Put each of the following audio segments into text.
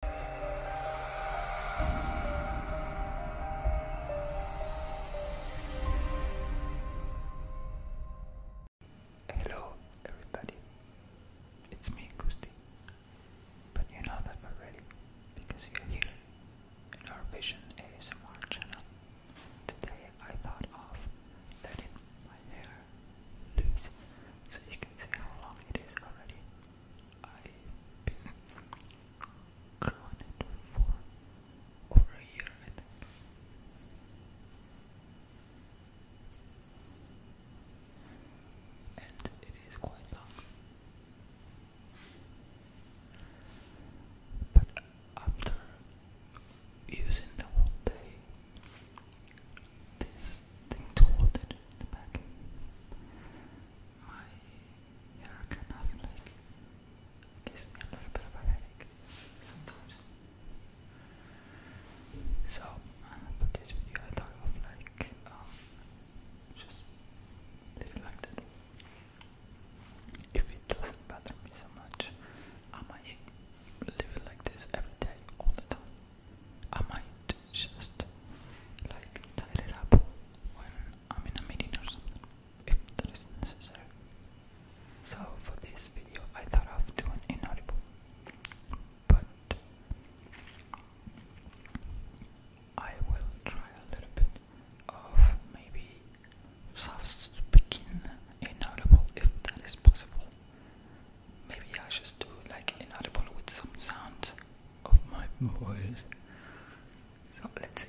Hello everybody, it's me Gusti, but you know that already because you're here in our Vision ASMR channel. Today I thought of letting my hair loose so you can see how long it is already. I've been growing it for over a year, I think. And it is quite long. But after using the whole day, this thing to the back. My hair kind of like gives me a little bit of headache sometimes. So for this video, I thought of like um, just leave like that. If it doesn't bother me so much, I might live like this every day, all the time. I might just like tie it up when I'm in a meeting or something, if that is necessary. So for this video, I thought of doing inaudible, but I will try a little bit of maybe soft speaking inaudible if that is possible maybe I just do like inaudible with some sounds of my voice. So let's see.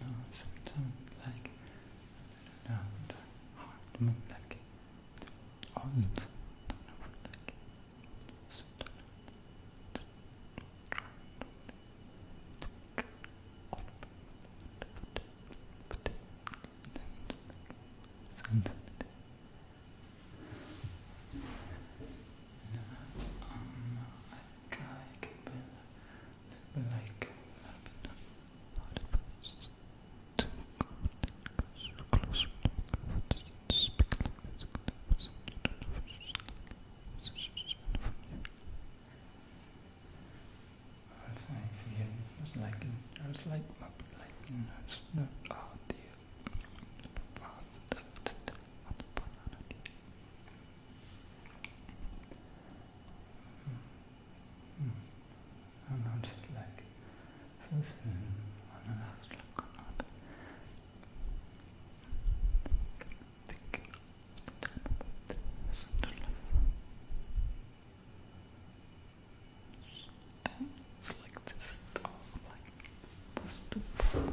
No, something like no, the heart, I mean like the organs. Don't know what like something like I, I can build like I was like, yeah, I was like, I was like, like, that's not all the path that on the banana. I'm not like first on the last look or Think it's like this stuff like first to first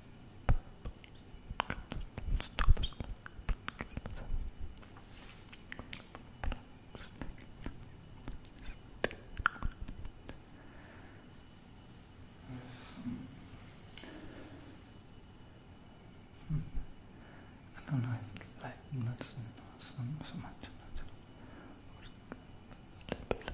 Hmm. I don't know if it's like nuts and so, so much. Or a little bit.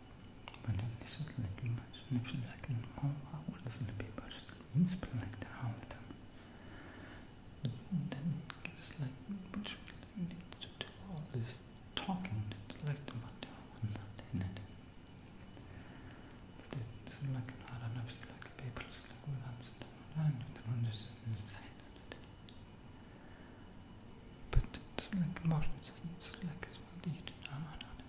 Benim يسلك نفسك المرة ولازم be personally inspect halten. Then it's like what we need to do all is talking that like the matter it. But then it's like not enough it's like people it's like we understand and the one inside it. But it's like more it's like it's what you do now.